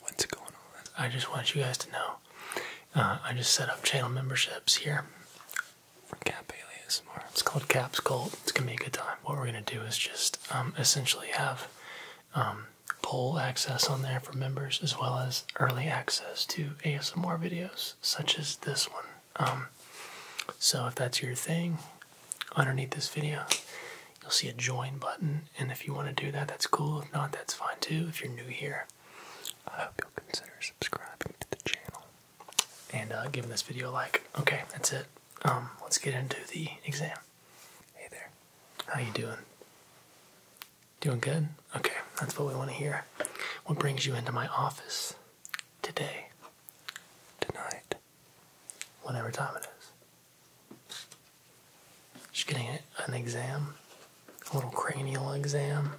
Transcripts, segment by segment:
What's going on? I just want you guys to know. Uh, I just set up channel memberships here for Cap ASMR. It's called Cap's It's gonna be a good time. What we're gonna do is just um, essentially have um, poll access on there for members, as well as early access to ASMR videos such as this one. Um, so if that's your thing, underneath this video, you'll see a join button. And if you want to do that, that's cool. If not, that's fine too. If you're new here, I hope you'll consider subscribing to the channel and uh, giving this video a like. Okay, that's it. Um, let's get into the exam. Hey there, how you doing? Doing good? Okay, that's what we want to hear. What brings you into my office today, tonight, whatever time it is? Just getting an exam, a little cranial exam.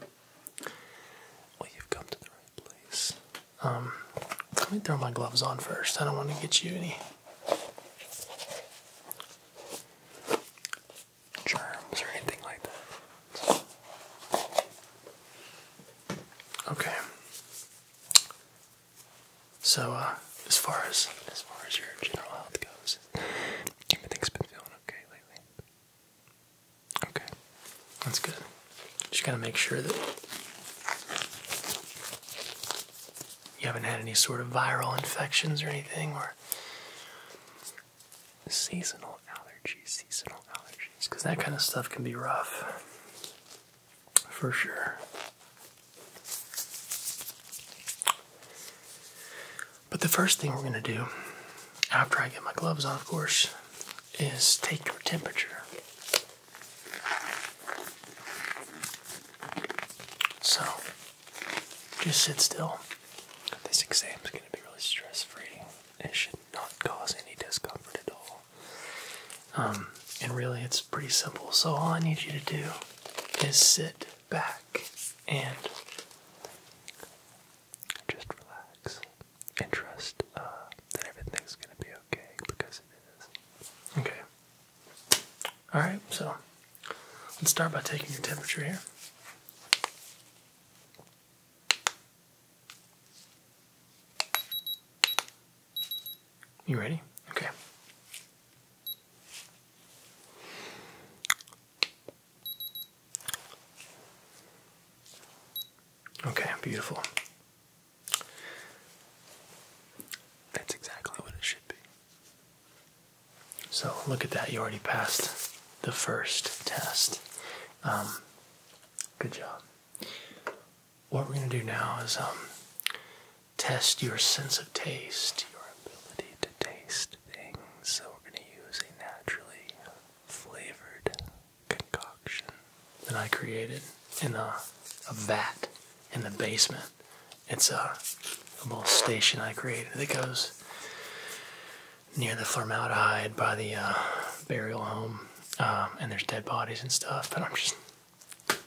Well, you've come to the right place. Um, let me throw my gloves on first. I don't want to get you any germs or anything like that. Okay. So, uh, as far as as far as your general health goes, everything's been feeling okay lately. Okay, that's good. Just gotta make sure that you haven't had any sort of viral infections or anything, or seasonal allergies. Seasonal allergies, because that kind of stuff can be rough, for sure. But the first thing we're going to do, after I get my gloves on, of course, is take your temperature. So, just sit still. This exam is going to be really stress free. It should not cause any discomfort at all. Um, and really, it's pretty simple. So, all I need you to do is sit back and just relax and trust uh, that everything's going to be okay because it is. Okay. Alright, so let's start by taking your temperature here. You ready? Okay. Okay, beautiful. That's exactly what it should be. So, look at that. You already passed the first test. Um, good job. What we're going to do now is um, test your sense of taste, your ability to taste things. So we're going to use a naturally flavored concoction that I created in a, a vat in the basement. It's a, little station I created that goes near the formaldehyde by the uh, burial home. Um, and there's dead bodies and stuff, but I'm just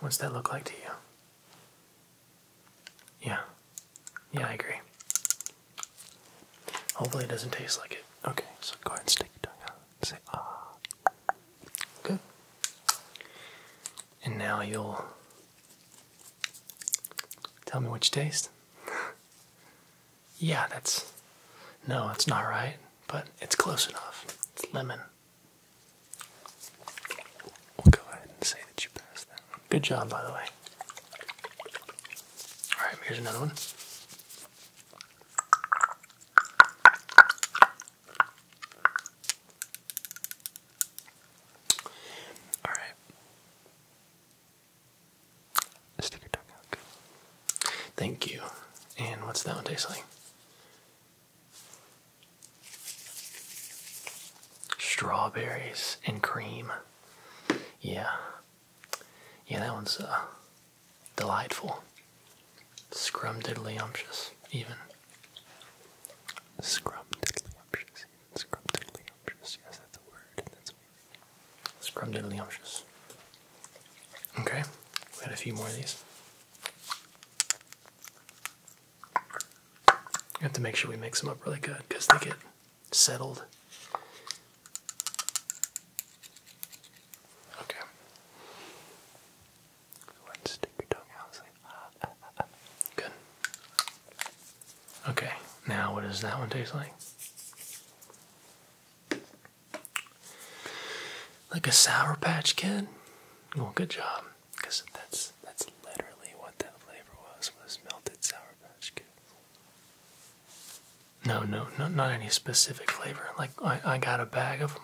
What's that look like to you? Yeah. Yeah, I agree. Hopefully it doesn't taste like it. Okay, so go ahead and stick your tongue out and say, ah. Good. And now you'll tell me what you taste. yeah, that's. No, it's not right but it's close enough. It's lemon. We'll go ahead and say that you passed that one. Good job, by the way. Alright, here's another one. Alright. Stick your tongue out. Thank you. And what's that one taste like? Strawberries and cream. Yeah. Yeah, that one's uh, delightful. Scrumdiddlyumptious, even. Scrumdiddlyumptious, even. Scrumdiddlyumptious. Yes, that's a word. That's a word. Scrumdiddlyumptious. Okay, we got a few more of these. We have to make sure we mix them up really good because they get settled. Okay. Let's stick your tongue out. Ah. Good. Okay, now what does that one taste like? Like a Sour Patch Kid? Well, oh, good job, because that's that's literally what that flavor was was melted Sour Patch kid. No, no, no, not any specific flavor. Like I, I got a bag of them,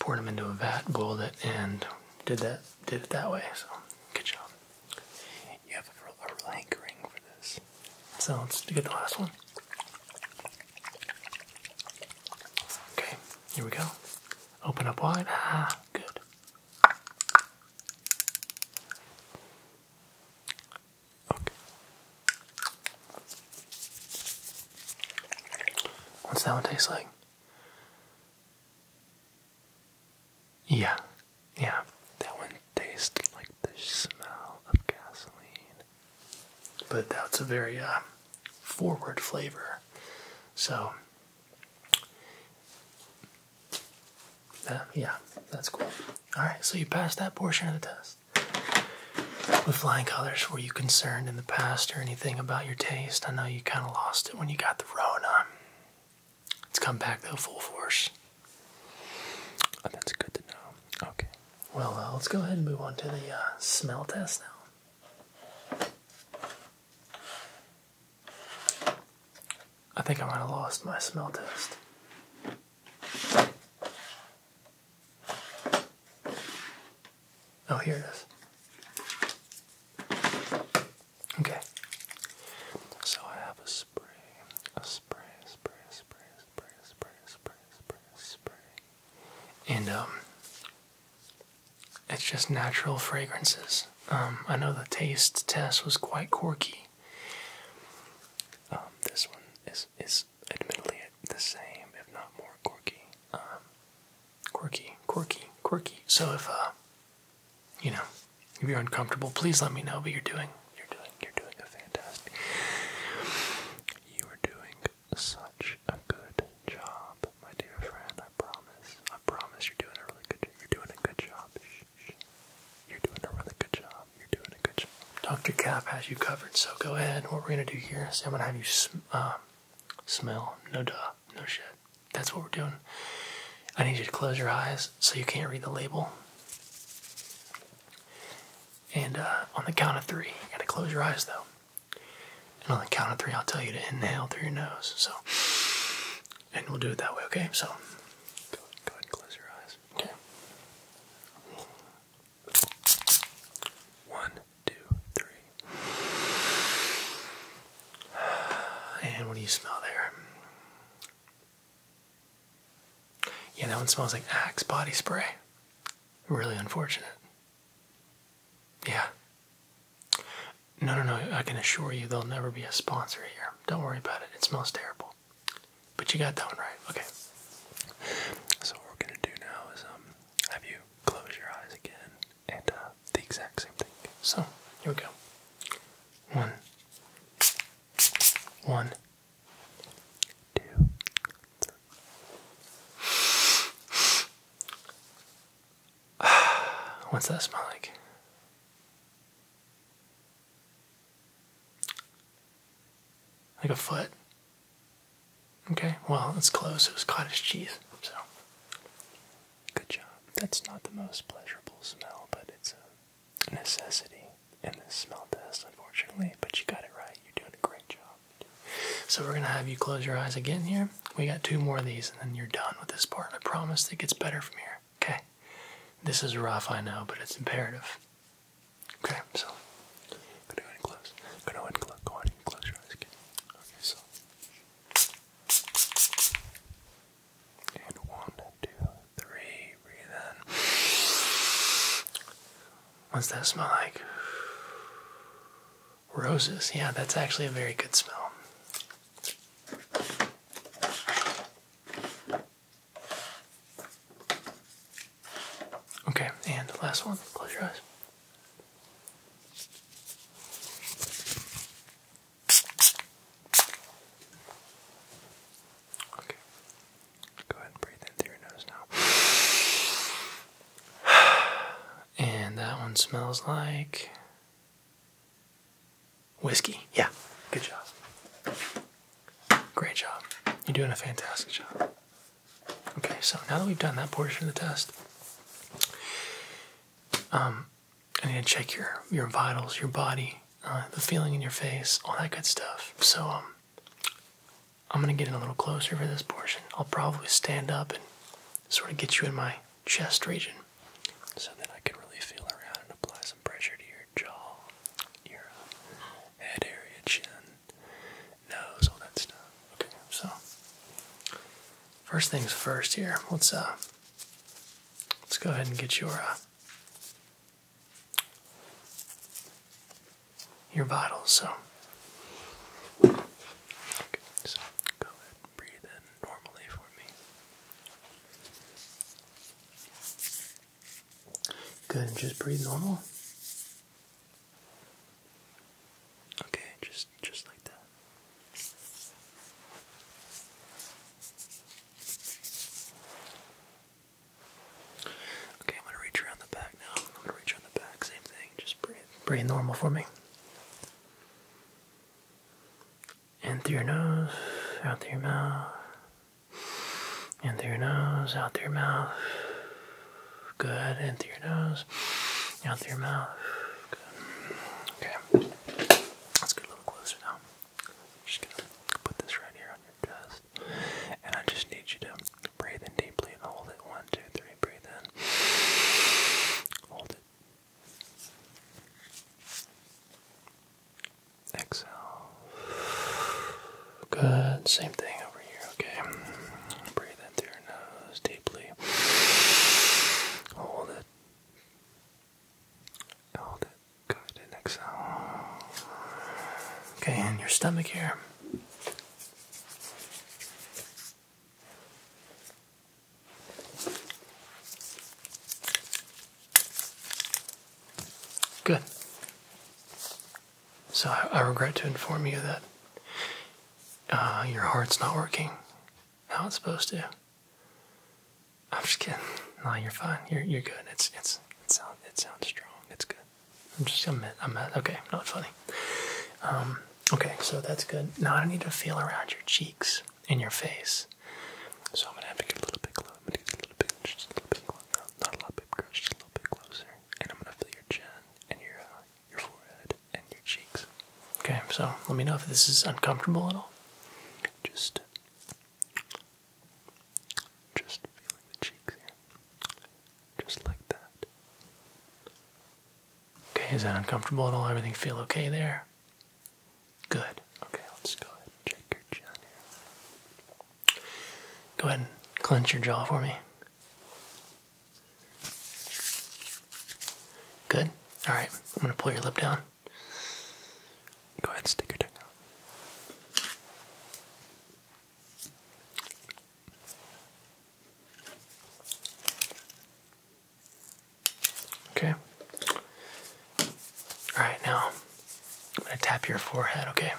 poured them into a vat, boiled it, and did that did it that way. So good job. You have a, a hankering for this. So let's get the last one. Okay, here we go. Open up wide. Ah, good. Okay. What's that one taste like? Yeah, yeah, that one tastes like the smell of gasoline. But that's a very uh, forward flavor. So, yeah, that's cool. Alright, so you passed that portion of the test. With flying colors, were you concerned in the past or anything about your taste? I know you kind of lost it when you got the Rona. It's come back though, full force. Oh, that's good to know. Okay. Well, uh, let's go ahead and move on to the uh, smell test now. I think I might have lost my smell test. Oh, here it is. Okay. So I have a spray, a spray, spray, spray, spray, spray, spray, spray, spray. And um, it's just natural fragrances. Um, I know the taste test was quite quirky. Um, this one is is admittedly the same, if not more quirky. Um, quirky, quirky, quirky. So if uh, you know, if you're uncomfortable, please let me know. But you're doing, you're doing, you're doing a fantastic. You are doing such a good job, my dear friend. I promise. I promise you're doing a really good You're doing a good job. You're doing a really good job. You're doing a good job. Dr. Cap has you covered, so go ahead. What we're going to do here is I'm going to have you sm uh, smell. No duh. No shit. That's what we're doing. I need you to close your eyes so you can't read the label. And uh, on the count of three, you gotta close your eyes though. And on the count of three, I'll tell you to inhale through your nose. So, and we'll do it that way, okay? So, go ahead, close your eyes. Okay. One, two, three. And what do you smell there? Yeah, that one smells like Axe body spray. Really unfortunate. Yeah. No, no, no, I can assure you there'll never be a sponsor here. Don't worry about it. It smells terrible. But you got that one right. Okay. So what we're gonna do now is um have you close your eyes again and uh the exact same thing. So here we go. One. One two, three. What's that smell like? Like a foot. Okay, well, it's close. It was cottage cheese, so. Good job. That's not the most pleasurable smell, but it's a necessity and the smell test, unfortunately, but you got it right. You're doing a great job. So we're gonna have you close your eyes again here. We got two more of these, and then you're done with this part. I promise it gets better from here. Okay. This is rough, I know, but it's imperative. Okay, so go ahead and close. Go ahead close. Go ahead close your eyes again. Okay, so and one, two, three, breathe in. What's that smell like? Roses. Yeah, that's actually a very good smell. Okay, and the last one. Close your eyes. Okay. Go ahead and breathe in through your nose now. And that one smells like whiskey. Yeah, good job. Great job. You're doing a fantastic job. Okay, so now that we've done that portion of the test, um, I need to check your your vitals, your body, uh, the feeling in your face, all that good stuff. So um, I'm gonna get in a little closer for this portion. I'll probably stand up and sort of get you in my chest region so that I can really feel around and apply some pressure to your jaw, your uh, head area, chin, nose, all that stuff. Okay, so first things first here. Let's uh let's go ahead and get your uh, your vitals. So, so go ahead breathe in normally for me. Good, and just breathe normal. Okay, just just like that. Okay, I'm gonna reach around the back now. I'm gonna reach around the back, same thing. Just breathe, breathe normal for me. In through your nose, out through your mouth. In through your nose, out through your mouth. Good. In through your nose, out through your mouth. Good. Okay. Let's get a little closer now i just gonna put this right here on your chest. And I just need you to breathe in deeply and hold it. One, two, three, breathe in. Hold it. Exhale. Good. Same thing over here, okay? Breathe in through your nose deeply. Hold it. Hold it. Good, and exhale. Okay, in your stomach here. Good. So I, regret to inform you that uh, your heart's not working how it's supposed to. I'm just kidding. No, you're fine. You're you're good. It's it's it sounds it sounds strong. It's good. I'm just I'm I'm okay. Not funny. Um, okay, so that's good. Now I need to feel around your cheeks and your face. So I'm gonna have to get a little bit closer. a little bit, just a little bit closer. Not a lot, bit closer, a little bit closer. And I'm gonna feel your chin and your uh, your forehead and your cheeks. Okay, so let me know if this is uncomfortable at all. Just just feeling the cheeks here. Just like that. Okay, is that uncomfortable at Everything feel okay there? Good. Okay, let's go ahead and check your chin here. Go ahead and clench your jaw for me. Good. Alright, I'm gonna pull your lip down. Go ahead, stick your tongue out. Okay. Alright, now I'm gonna tap your forehead, okay?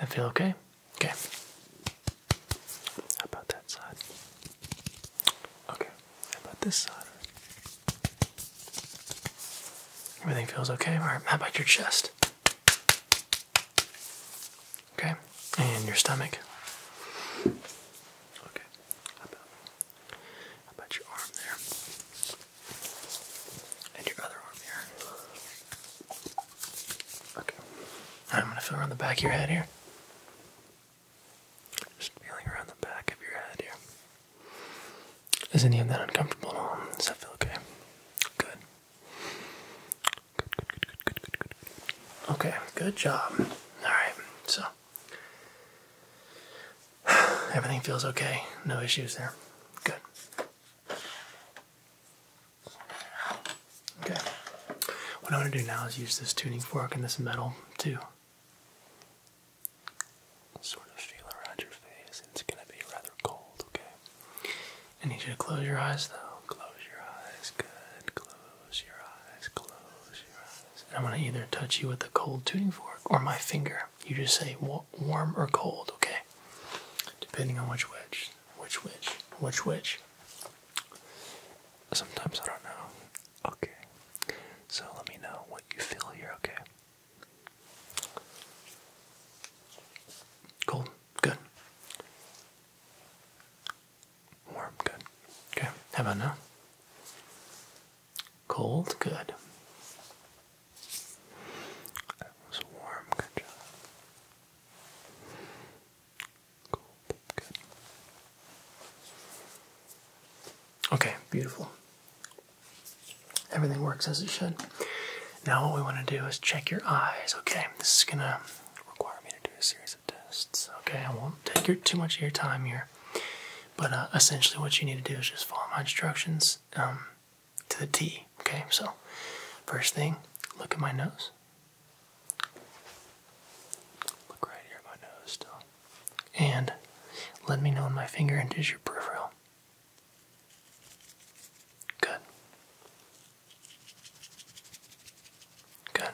That feel okay? Okay. How about that side? Okay. How about this side? Everything feels okay? Alright, how about your chest? Okay, and your stomach? Okay, how about, your arm there? And your other arm here? Okay, I'm gonna feel around the back of your head here. Just feeling around the back of your head here. Is any of that uncomfortable at all? Does that feel okay? Good. Good, good, good, good, good, good, Okay, good job. Alright, so everything feels okay. No issues there. Good. Okay. What I am going to do now is use this tuning fork and this metal too sort of feel around your face. It's gonna be rather cold, okay? I need you to close your eyes though. Close your eyes, good. Close your eyes, close your eyes. And I'm gonna either touch you with a cold tuning fork or my finger. You just say warm or cold, okay? Depending on which which, which which, which which. Sometimes I don't know. Okay. So let me know what you feel here, okay? Cold, good. Warm, good. Okay, how about now? Cold, good. That warm, good job. Cold, good. Okay, beautiful everything works as it should. Now, what we want to do is check your eyes, okay? This is going to require me to do a series of tests, okay? I won't take too much of your time here, but uh, essentially, what you need to do is just follow my instructions um, to the T, okay? So, first thing, look at my nose. Look right here my nose and let me know when my finger enters your peripheral. Good. Good.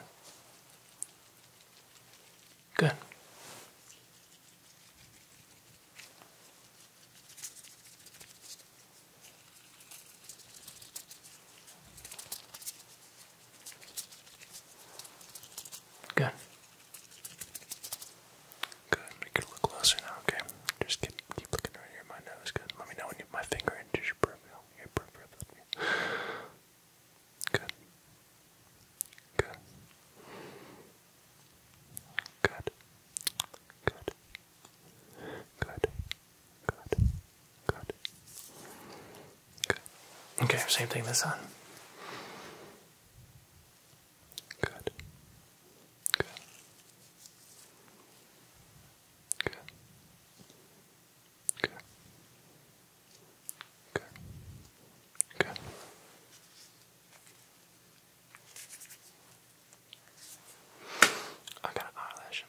Good. Good. Good, make it a closer now, okay? Just keep, keep looking right here, my nose, good. Let me know when you my finger enters your peripheral, your peripheral, Good. Good. Good. Good. Good. Good. Good. Okay, same thing this time. Good. Good. Good. Good. Good. Good. I got an eyelash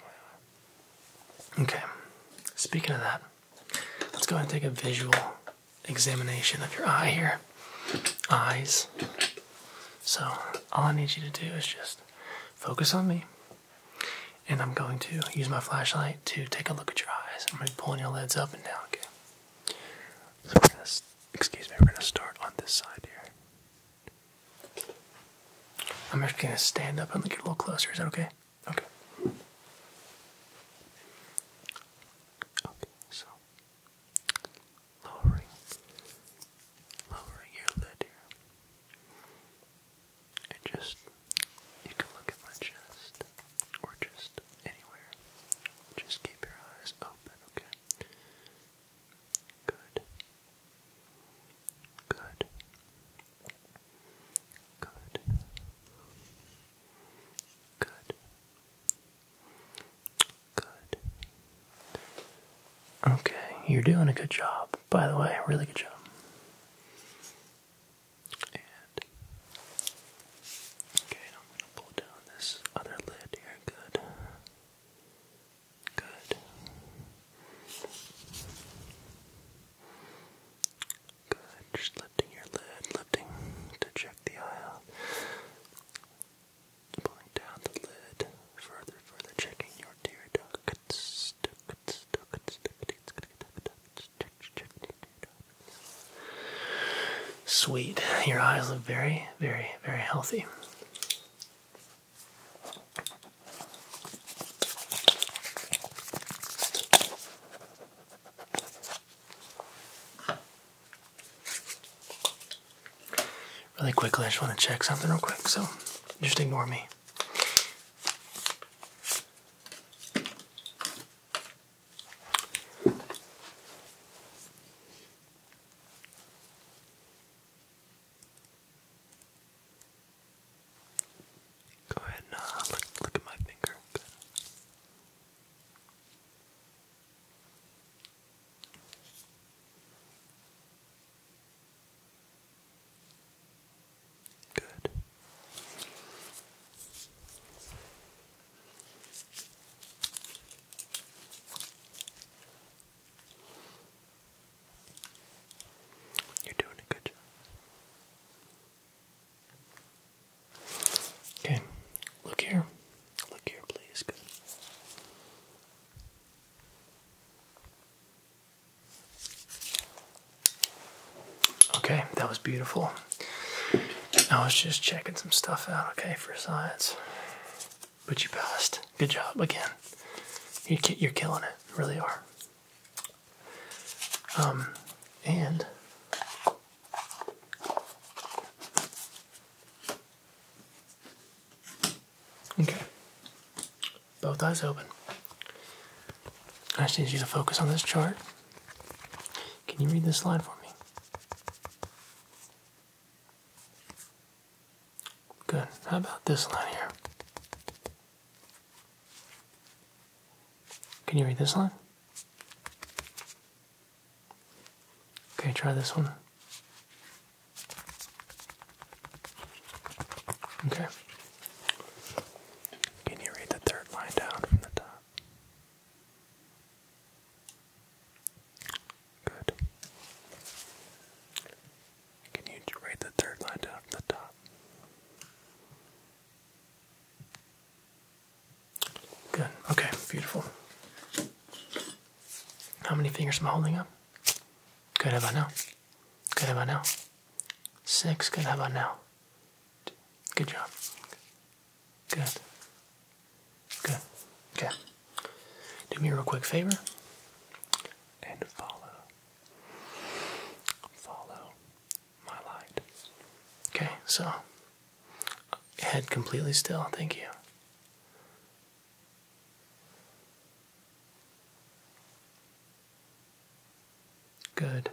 in my eye. Okay. Speaking of that, let's go ahead and take a visual examination of your eye here. Eyes. So, all I need you to do is just focus on me. And I'm going to use my flashlight to take a look at your eyes. I'm going to be pulling your lids up and down, again. excuse me, we're going to start on this side here. I'm just going to stand up and look a little closer. Is that okay? Okay. Okay, so lowering, lowering your lid here, and just you can look at my chest or just anywhere. Just keep your eyes open, okay? Good. Good. Good. Good. Good. Okay, you're doing a good job, by the way, really good job. okay, I'm gonna pull down this other lid here. Good. Good. Good. Just lifting your lid, lifting to check the eye, Pulling down the lid, further, further checking your tear ducts. Ducts, ducts, ducts, ducts, ducts, ducts, check, check, Sweet. Your eyes look very, very, very healthy. Really quickly, I just want to check something real quick, so just ignore me. Go ahead and uh, look, at my finger. Good. You're doing a good job. Okay, look here. Look here, please. Good. Okay, that was beautiful. I was just checking some stuff out, okay, for science. But you passed. Good job again. You're, you're killing it. really are. Um, and Okay. Both eyes open. I just need you to focus on this chart. Can you read this line for me? Good. How about this line here? Can you read this line? Okay, try this one. Okay. Can you read the third line down from the top? Good. Can you read the third line down the top? Good. Okay, beautiful. How many fingers am I holding up? Good, how about now? Good, how about now? Six. Good, how about now? Good job. Good. Good. Okay. Do me a real quick favor and follow. Follow my light. Okay, so head completely still. Thank you. Good.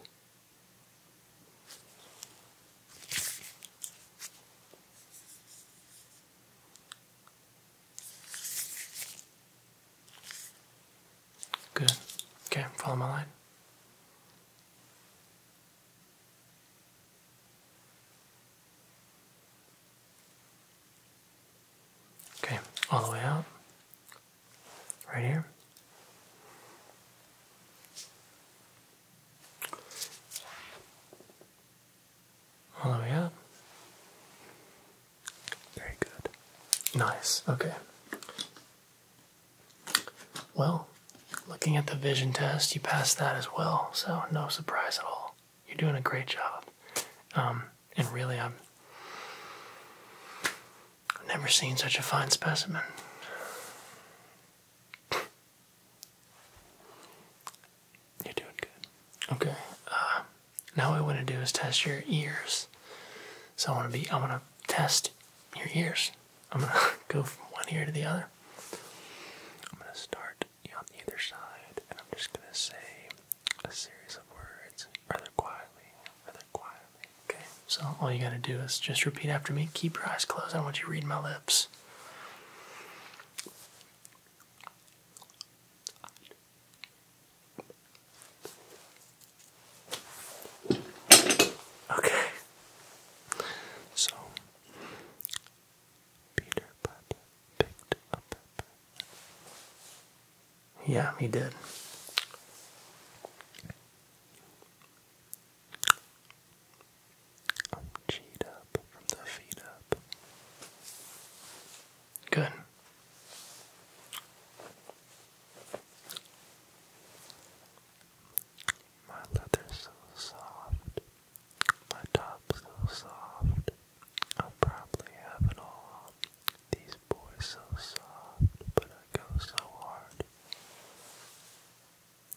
Good. Okay, follow my line. Okay, all the way out. Right here. All the way out. Very good. Nice. Okay. Well, looking at the vision test, you passed that as well, so no surprise at all. You're doing a great job. Um, and really, i have never seen such a fine specimen. You're doing good. Okay. Uh, now what I want to do is test your ears. So I want to be. I want to test your ears. I'm gonna go from one ear to the other. I'm gonna start on either side, and I'm just gonna say a series of words, rather quietly, rather quietly. Okay. So all you gotta do is just repeat after me. Keep your eyes closed. I don't want you reading my lips. Okay. So Peter Piper picked a pepper. Yeah, he did. I'm cheat up from the feet up. Good. My leather so soft, my top's so soft. I'll probably have it all. These boys so soft, but I go so hard.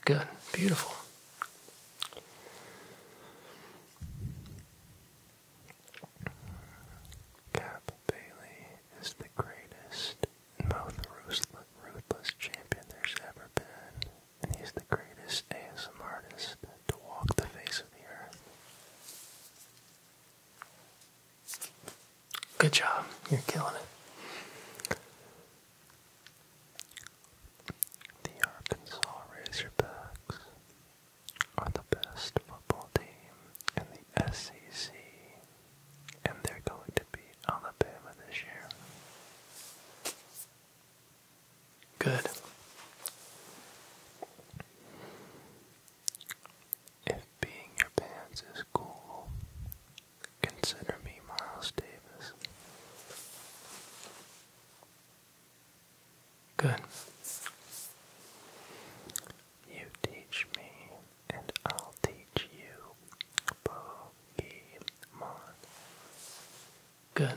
Good, beautiful. Cap Bailey is the greatest most ruthless, ruthless champion there's ever been, and he's the greatest ASM artist to walk the face of the earth. Good job, you're killing it. The Arkansas Razorbacks are the best football team in the SEC and they're going to beat Alabama this year. Good. If being your pants is cool, consider me Miles Davis. Good. You teach me and I'll teach you Pokemon. Good.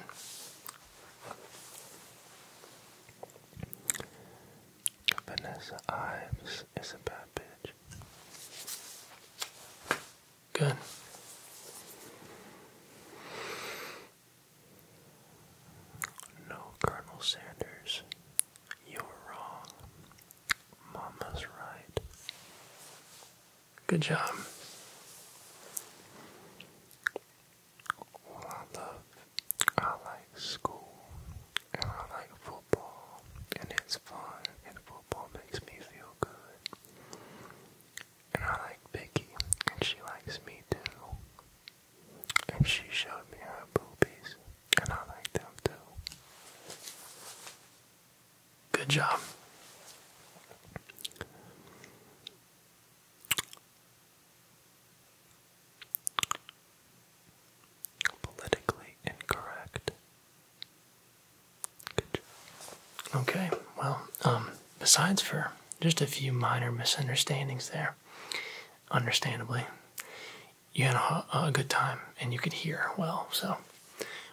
Vanessa Ives is a bad bitch. Good. No Colonel Sanders you're wrong. Mama's right. Good job. Well, I love, I like school, and I like football, and it's fun, and football makes me feel good. And I like Vicky, and she likes me too. And she showed me her boobies and I like them too. Good job. Politically incorrect. Good job. Okay, well, um, besides for just a few minor misunderstandings there, understandably, you had a, good time and you could hear well. So,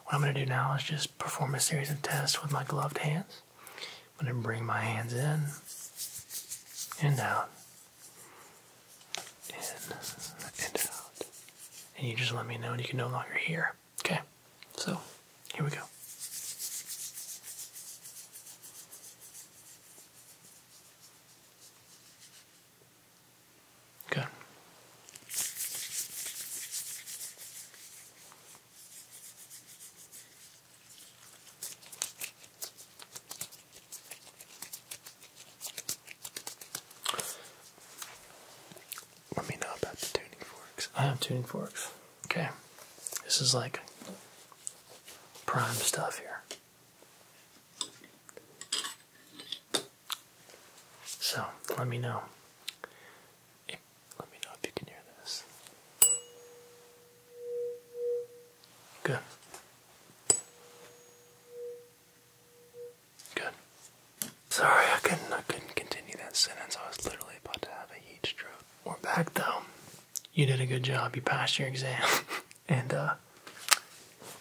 what I'm going to do now is just perform a series of tests with my gloved hands. I'm going to bring my hands in and out, in and out, and you just let me know and you can no longer hear. Okay, so here we go. Good. Let me know about the tuning forks. I have tuning forks. Okay. This is like prime stuff here. So let me know. Let me know if you can hear this. Good. Good. Sorry, I couldn't. I couldn't continue that sentence. I was literally about to have a heat stroke. We're back though. You did a good job. You passed your exam, and uh,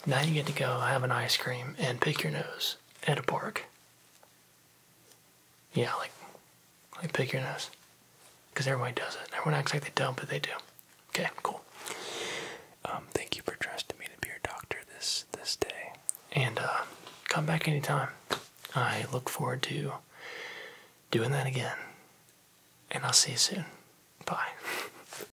now you get to go have an ice cream and pick your nose at a park. Yeah, like, like pick your nose. Because everybody does it. Everyone acts like they don't, but they do. Okay, cool. Um, thank you for trusting me to be your doctor this this day. And uh, come back anytime. I look forward to doing that again. And I'll see you soon. Bye.